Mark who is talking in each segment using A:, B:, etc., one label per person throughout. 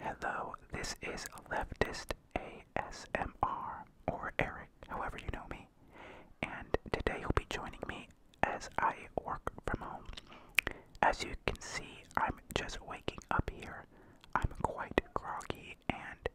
A: Hello, this is Leftist ASMR, or Eric, however you know me, and today you'll be joining me as I work from home. As you can see, I'm just waking up here. I'm quite groggy, and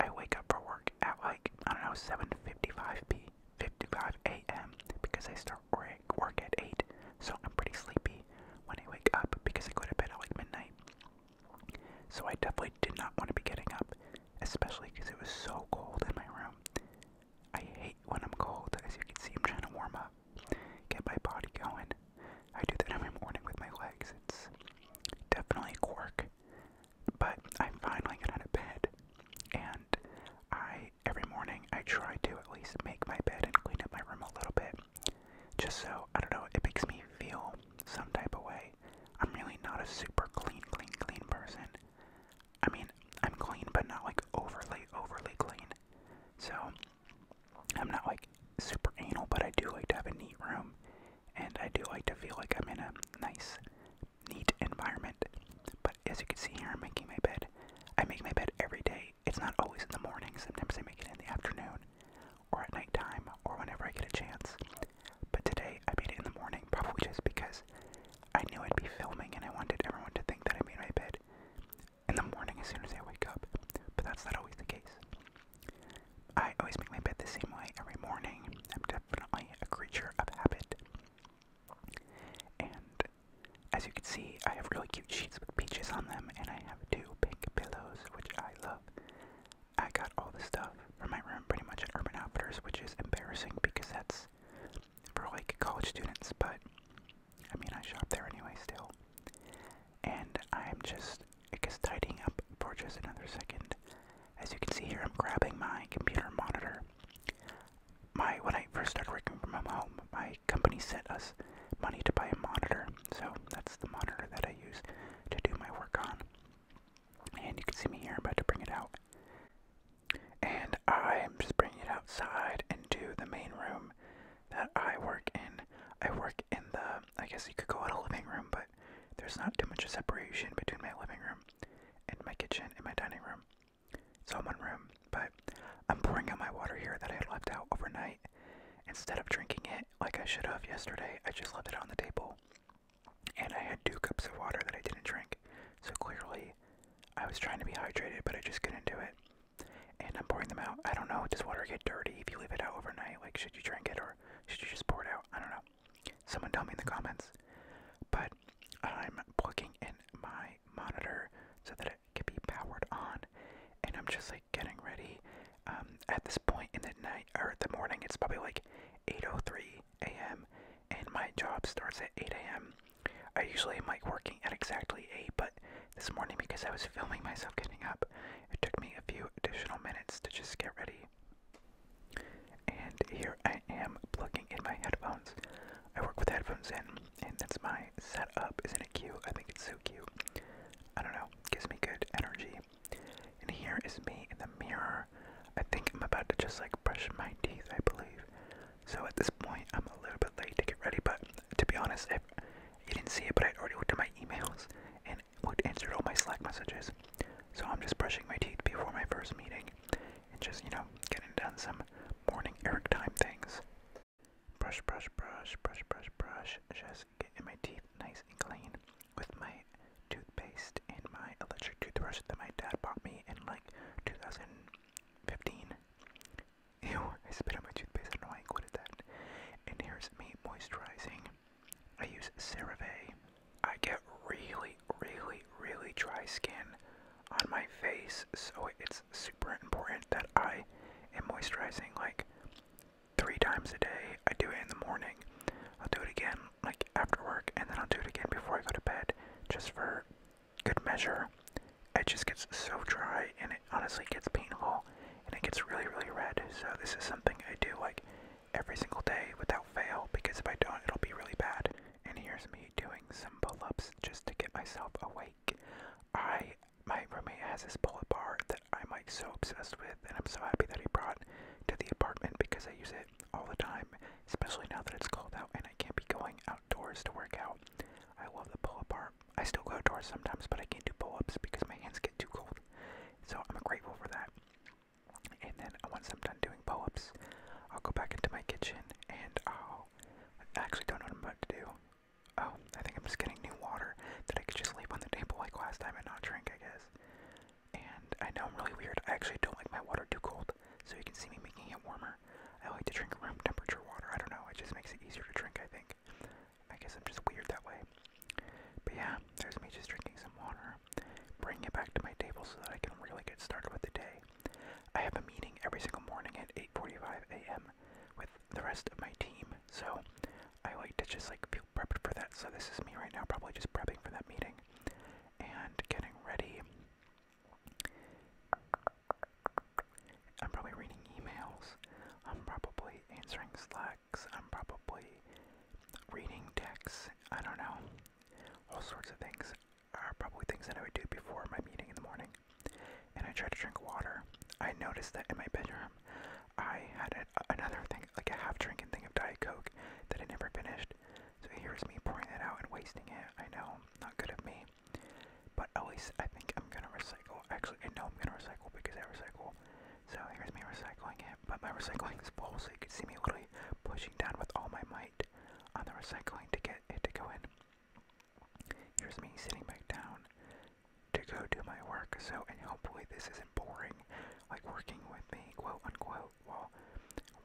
A: I wake up for work at like, I don't know, 7.55 p. 55 a.m. because I start work I work at 8, so I'm pretty sleepy when I wake up because I go to bed at like midnight. So I definitely did not want to be getting up, especially because it was so cold in my room. I hate when I'm cold, as you can see, I'm trying to warm up, get my body going. I do that every morning with my legs. It's definitely a quirk. But I finally get out of bed, and I every morning I try to at least make my bed and clean up my room a little bit just so I don't know, it makes me feel some type of way. I'm really not a super clean, clean, clean person. I mean, I'm clean, but not like overly, overly clean. So, I'm not like super anal, but I do like to have a neat room, and I do like to feel like I'm in a nice, neat environment. But as you can see here, I'm making my bed. I make my bed every day. It's not always in the morning, sometimes I make it in the afternoon, or at nighttime, or whenever I get a chance. But today I made it in the morning, probably just because I knew I'd be filming and I wanted everyone to think that I made my bed in the morning as soon as I wake up. But that's not always the case. I always make my bed the same way every morning. I'm definitely a creature of habit. And as you can see, I have really cute sheets with peaches on them, and I have two pink pillows, which I love. I got all this stuff from my room pretty much at Urban Outfitters, which is embarrassing because that's for like college students, but I mean, I shop there anyway still. And I'm just, I guess, tidying up for just another second. As you can see here, I'm grabbing my computer monitor. My when I first started working from home, my company sent us money to buy a monitor, so that's the monitor that I use to do my work on. And you can see me here, about to bring it out. And I'm just bringing it outside into the main room that I work in. I work in the, I guess you could call it a living room, but there's not too much of separation between my living room and my kitchen and my dining room. So I'm one room, but I'm pouring out my water here that I had left out overnight. Instead of drinking it like I should have yesterday, I just left it on the table. And I had two cups of water that I didn't drink. So clearly, I was trying to be hydrated, but I just couldn't do it. And I'm pouring them out. I don't know, does water get dirty if you leave it out overnight? Like, should you drink it or should you just pour it out? I don't know. Someone tell me in the comments. But I'm plugging in my monitor so that it can be powered on. And I'm just like getting ready. Um, at this point in the night or the morning, it's probably like 8:03 a.m. and my job starts at 8 a.m. I usually am like working at exactly 8, but this morning because I was filming myself getting up, it took me a few additional minutes to just get ready. And here I I am plugging in my headphones. I work with headphones in, and that's my setup. Isn't it cute? I think it's so cute. I don't know, gives me good energy. And here is me in the mirror. I think I'm about to just like brush my teeth, I believe. So at this point, I'm a little bit late to get ready, but to be honest, I you didn't see it, but I already looked at my emails and answered all my Slack messages. So I'm just brushing my teeth before my first meeting and just, you know, getting done some morning Eric time things. Brush, brush, brush, brush, brush, brush. Just getting my teeth nice and clean with my toothpaste and my electric toothbrush that my dad bought me in like 2015. Ew, I spit on my toothpaste. I I quit that. And here's me moisturizing. I use CeraVe. I get really really, really dry skin on my face, so it's super important that I am moisturizing like three times a day. I do it in the morning, I'll do it again like after work, and then I'll do it again before I go to bed just for good measure. It just gets so dry and it honestly gets painful and it gets really, really red. So, this is something I do like every single day without fail because if I don't, it'll be really bad and here's me doing some pull-ups just to get myself awake. I my roommate has this pull-up bar that I'm like so obsessed with, and I'm so happy that he brought to the apartment because I use it all the time, especially now that it's cold out and I can't be going outdoors to work out. I love the pull-up bar. I still go outdoors sometimes, but I can't do pull-ups because my hands get too cold. So I'm grateful for that. And then once I'm done doing pull-ups, I'll go back into my kitchen and i actually don't know what I'm about to do. Oh, I think I'm just getting new water that I could just leave on the table like last time and not drink, I guess. And I know I'm really weird. I actually don't like my water too cold, so you can see me making it warmer. I like to drink room temperature water. I don't know. It just makes it easier to drink, I think. I guess I'm just weird that way. But yeah, there's me just drinking some water bring it back to my table so that I can really get started with the day. I have a meeting every single morning at 8:45 a.m. with the rest of my team, so I like to just like feel for that. So this is me right now, probably just prepping for that meeting and getting ready. I'm probably reading emails. I'm probably answering Slacks. I'm probably reading texts. I don't know all sorts of things are probably things that I would do before my meeting in the morning. And I try to drink water. I noticed that in my bedroom, I had another thing, like a half drinking thing of Diet Coke that I never finished. So here's me pouring that out and wasting it. I know, not good at me. But at least I think I'm gonna recycle. Actually, I know I'm gonna recycle because I recycle. So here's me recycling it. But my recycling is full, so you can see me literally pushing down with all my might on the recycling to get it to go in. Here's me sitting back down to go do my work, so, and hopefully this isn't boring, like working with me, quote unquote, while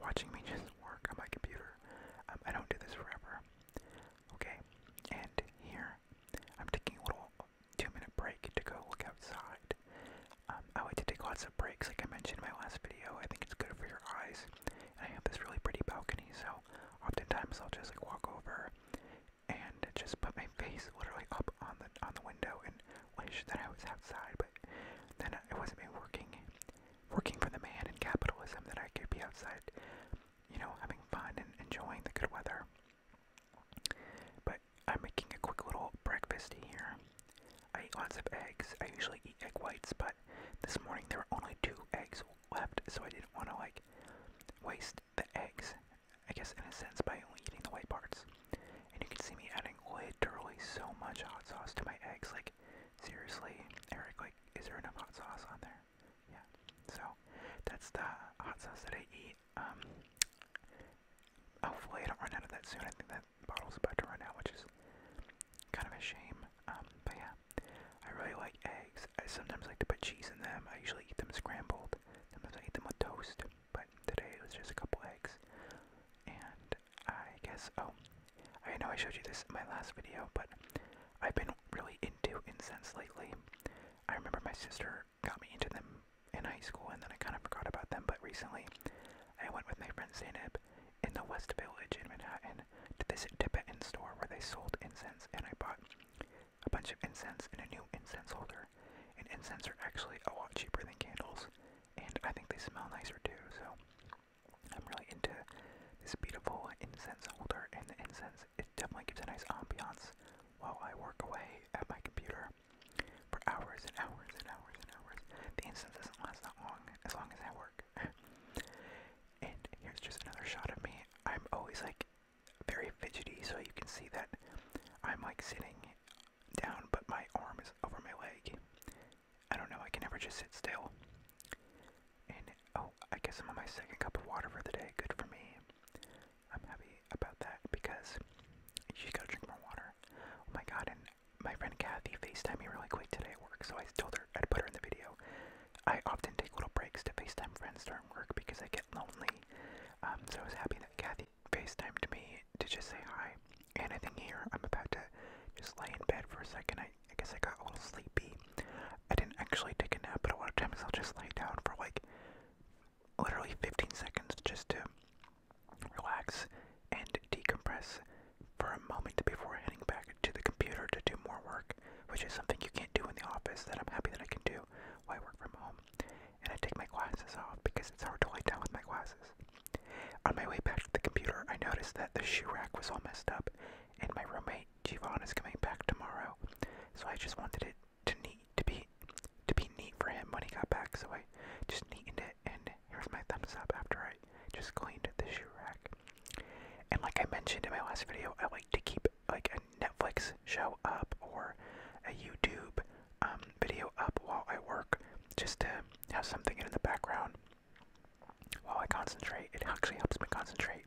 A: watching me just work on my computer. Um, I don't do this forever. Okay, and here I'm taking a little two minute break to go look outside um, I like to take lots of breaks, like I mentioned in my last video. I think it's good for your eyes. And I have this really pretty balcony, so oftentimes I'll just like walk over and just put my face literally up on the on the window and wish that I was outside. But then it wasn't me working, working for the man in capitalism that I could be outside, you know, having fun and enjoying the good weather. But I'm making a quick little breakfast here. I eat lots of eggs. I usually eat egg whites, but this morning there were only two eggs left, so I didn't want to like waste the eggs, I guess in a sense, by only eating the white parts. And you can see me adding literally so much hot sauce to my eggs. Like, seriously, Eric, like, is there enough hot sauce on there? Yeah. So that's the hot sauce that I eat um hopefully I don't run out of that soon. I think that bottle's about to run out, which is kind of a shame. Um, but yeah. I really like eggs. I sometimes like to put cheese in them. I usually eat them scrambled. Sometimes I eat them with toast. But today it was just a couple eggs. And I guess oh I know I showed you this in my last video, but I've been really into incense lately. I remember my sister got me into them in high school, and then I kind of forgot about them. But recently, I went with my friend Zainab in the West Village in Manhattan to this Tibetan store where they sold incense, and I bought a bunch of incense and a new incense holder. And incense are actually a lot cheaper than candles, and I think they smell nicer too. So I'm really into this beautiful incense holder, and the incense it definitely gives a nice ambiance while I work away at my computer for hours and hours and hours and hours. The instance doesn't last that long, as long as I work. and here's just another shot of me. I'm always like very fidgety, so you can see that I'm like sitting down, but my arm is over my leg. I don't know, I can never just sit still. And oh, I guess I'm on my second cup of water for the day. Good for me. I'm happy about that because you should go drink more water. Oh my god, and my friend Kathy FaceTimed me really quick today at work, so I told her I'd put her in the video. I often take little breaks to FaceTime friends during work because I get lonely. Um, so I was happy that Kathy FaceTimed me to just say hi. Anything here I'm about to just lay in bed for a second. I guess I got a little sleepy. I didn't actually take a nap, but a lot of times I'll just lay down for like literally 15 seconds just to relax and decompress for a moment before heading back to the computer to do more work, which is something you can't do in the office that I'm happy that I can do while I work from home. And I take my glasses off because it's hard to lay down with my glasses. On my way back to the computer, I noticed that the shoe rack was all messed up, and my roommate Jivan is coming back tomorrow, so I just wanted it to neat to be to be neat for him when he got back, so I just neatened it and here's my thumbs up after I just cleaned the shoe rack. And like I mentioned in my last video, I like to keep like a Netflix show up or a YouTube um, video up while I work just to have something in the background while I concentrate. It actually helps me concentrate.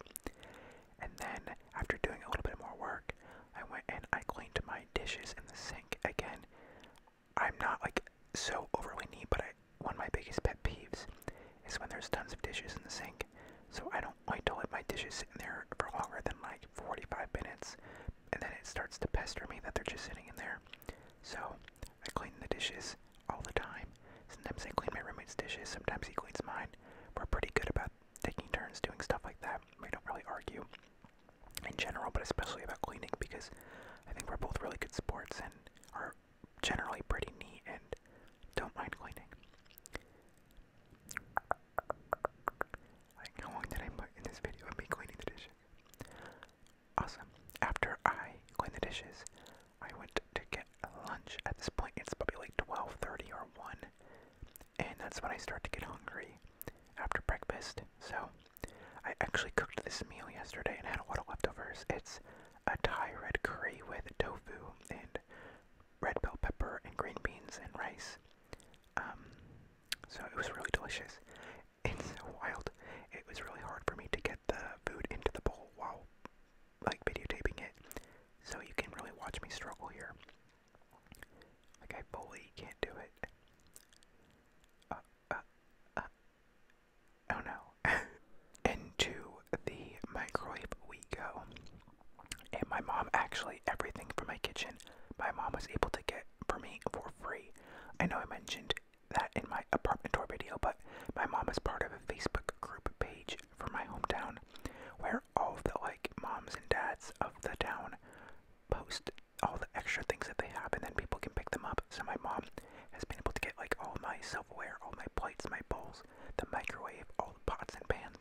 A: And then, after doing a little bit more work, I went and I cleaned my dishes in the sink again. I'm not like so overly neat, but I, one of my biggest pet peeves is when there's tons of dishes in the sink. So I don't like to let my dishes sit in there for longer than like 45 minutes, and then it starts to pester me that they're just sitting in there. So I clean the dishes all the time. Sometimes I clean my roommate's dishes, sometimes he cleans mine. We're pretty good about taking turns doing stuff like that. We don't really argue in general, but especially about cleaning because I think we're both really good sports and are generally pretty neat and don't mind cleaning. Like, how long did I put in this video of me cleaning the dishes? Awesome. After I clean the dishes, I went to get lunch. At this point, it's probably like 12:30 or 1, and that's when I start to get hungry after breakfast. So I actually cooked this meal yesterday and had a lot of leftovers. It's a Thai red curry with tofu and red bell pepper and green beans and rice. Um, so it was really delicious. It's so wild. It was really hard for me to get the food into the bowl while like videotaping it, so you can really watch me struggle here. Like, I fully can't do it. Uh, uh, uh. Oh no. Into the microwave we go. And my mom actually, everything from my kitchen, my mom was able to get for me for free. I know I mentioned that in my apartment tour video, but my mom is part of a Facebook group page for my hometown where all the like moms and dads of the town post all the extra things that they have and then people can pick them up. So my mom has been able to get like all my silverware, all my plates, my bowls, the microwave, all the pots and pans.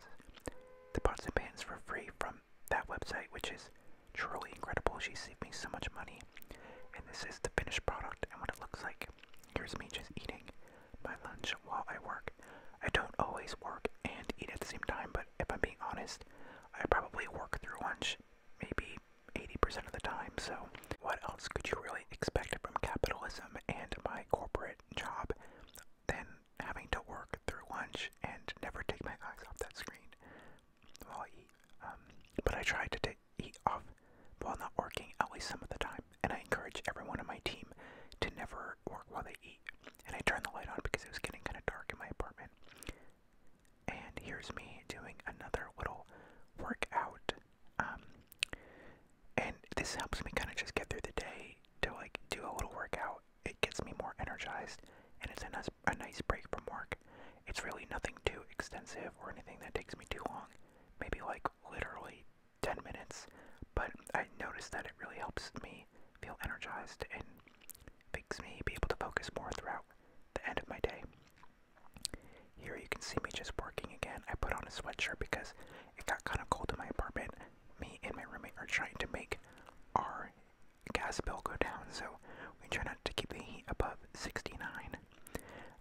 A: The pots and pans for free from that website, which is truly incredible. She saved me so much money. And this is the finished product and what it looks like. Here's me just eating my lunch while I work. I don't always work and eat at the same time, but if I'm being honest, I probably work through lunch maybe 80% of the time, so what else could you really expect from capitalism and my corporate job than having to work through lunch and never take my eyes off that screen while I eat? Um, but I tried to t eat off while not working at least some of the time and I encourage everyone on my team to never work while they eat. And I turned the light on because it was getting kind of dark in my apartment. And here's me doing another little workout. Um, and this helps me kind of just get through the day to like do a little workout. It gets me more energized, and it's a nice, a nice break from work. It's really nothing too extensive or anything that takes me too long. Maybe like literally 10 minutes, but I notice that it really helps me feel energized and makes me be able to focus more throughout the end of my day. Here you can see me just working again. I put on a sweatshirt because it got kind of cold in my apartment. Me and my roommate are trying to make our gas bill go down, so we try not to keep the heat above 69.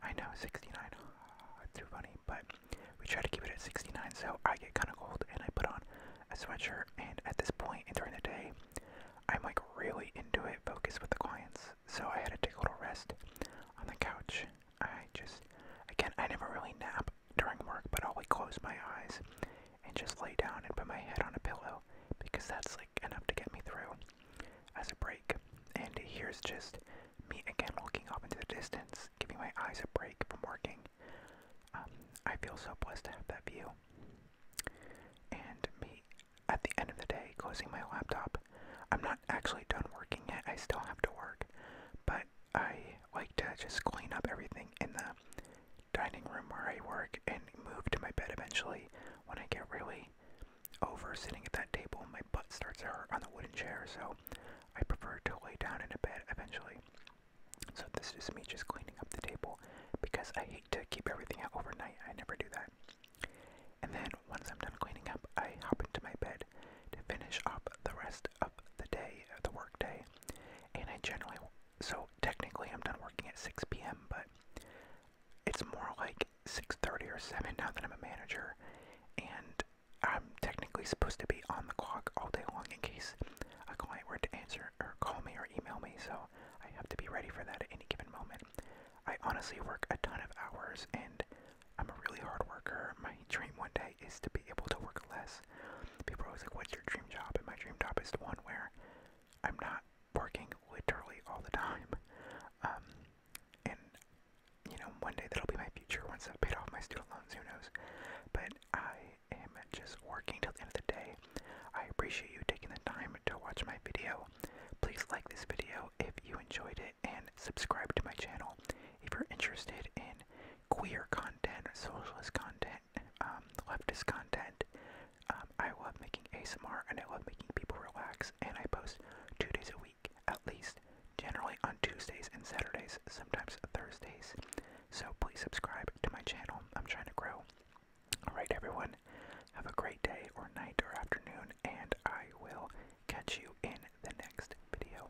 A: I know, 69, oh, it's too funny, but we try to keep it at 69, so I get kind of cold and I put on a sweatshirt. And at this point point, during the day, I'm like really into it, focused with the clients. So I had to take a little rest on the couch. I just, again, I never really nap during work, but I'll like close my eyes and just lay down and put my head on a pillow because that's like enough to get me through as a break. And here's just me again looking up into the distance, giving my eyes a break from working. Um, I feel so blessed to have that view. And me, at the end of the day, closing my laptop. I'm not actually done working yet, I still have to work, but I like to just clean up everything in the dining room where I work and move to my bed eventually when I get really over sitting at that table, my butt starts to hurt on the wooden chair, so I prefer to lay down in a bed eventually. So this is me just cleaning up the table because I hate to keep everything out overnight. I never do that. And then once I'm done cleaning up, I hop into my bed to finish up the rest of the day, uh, the work day. And I generally, so technically I'm done working at 6 p.m., but it's more like 6:30 or 7 now that I'm a manager, and I'm technically supposed to be on the clock all day long in case a client were to answer or call me or email me. So I have to be ready for that at any given moment. I honestly work a ton of hours, and I'm a really hard worker. My dream one day is to be able to work less. People always like, "What's your dream job?" And my dream job is the one where I'm not working literally all the time. Um, and you know, one day that'll be my future once I've paid off my student loans, who knows. But I am just working till the end of the day. I appreciate you taking the time to watch my video. Please like this video if you enjoyed it and subscribe to my channel if you're interested in queer content, socialist content, um, leftist content. Um, I love making ASMR and I love making people relax and I post two days a week at least, generally on Tuesdays and Saturdays, sometimes Thursdays. So please subscribe to my channel. I'm trying to grow. Alright, everyone, have a great day or night or afternoon, and I will catch you in the next video.